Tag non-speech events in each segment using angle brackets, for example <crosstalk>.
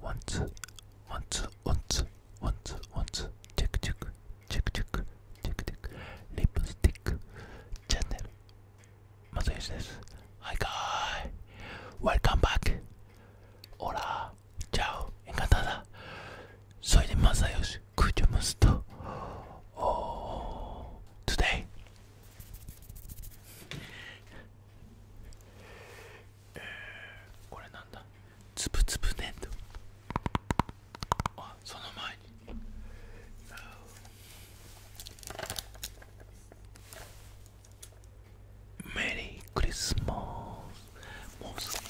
ワンツーワンツーワンツーワンツーワンツーチェックチェックチェックチェックチェックチェックリップスティックチャンネルマサヨシですはいかーい Welcome back オラチャオエンカタダそれでマサヨシクジュムスと Oh, today えー、これなんだつぶつぶね土あその前にメリークリスマスもうすぐ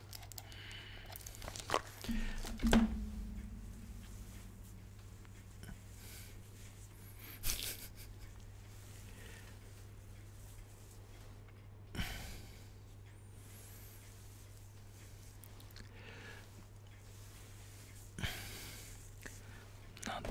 なんと。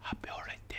ハッピーホリデー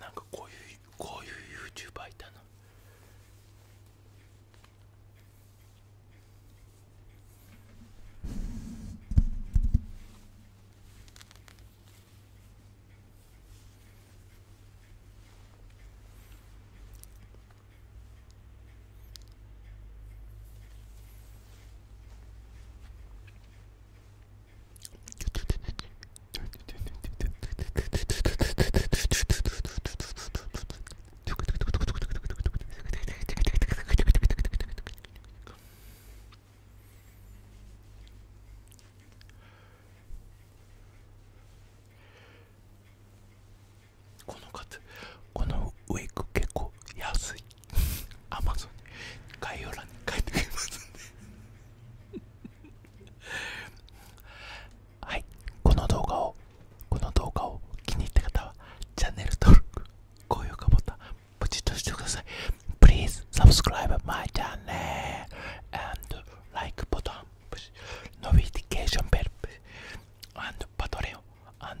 なんかこういうこういう YouTuber いたなこのカツこのウィーク結構安い <laughs> アマゾンに概要欄いておますんはいこの動画をこの動画を気に入った方はチャンネル登録高評価ボタンポチッとしてください Please subscribe my channel and like button notification bell and Patreon and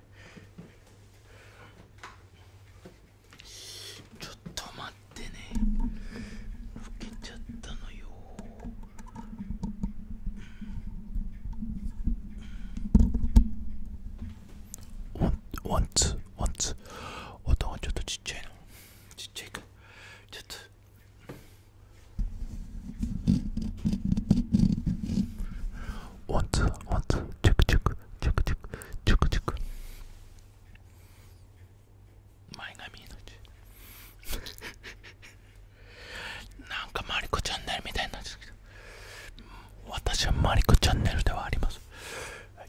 ちょっと待ってね老けちゃったのよワンツーワンツー音がちょっとちっちゃいなちっちゃいかちょっとワンツーワンツーチェクチェクチェクチェクチェクチェク前髪チ。なんかマリコチャンネルみたいな私はマリコチャンネルではあります、はい、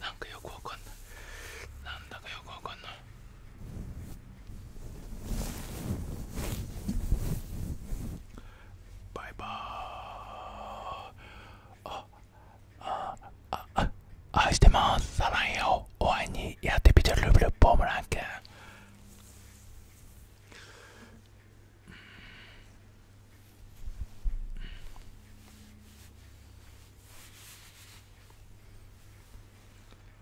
なんかよくわかんないなんだかよくわかんないバイバーああああ愛してますサランよお会いにやってみてルブルボームランケン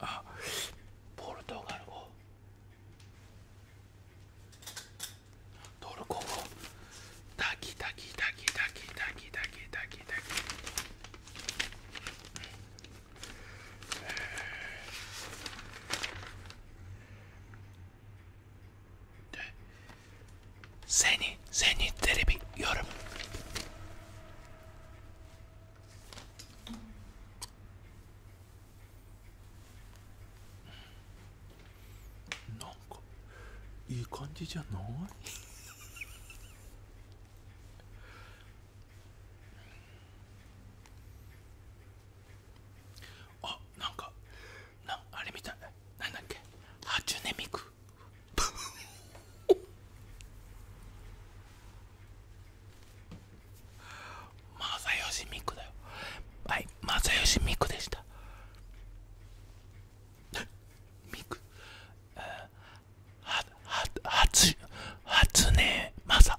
あポルトガル語トルコ語タキタキタキタキタキタキタキタキセニセニテレビ夜なんかいい感じじゃないあなんかなあれみたいなんだっけ初音ミク正義ミクだよはい正義ミクでしたミク <laughs> はは初初音マサ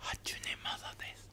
8年まだです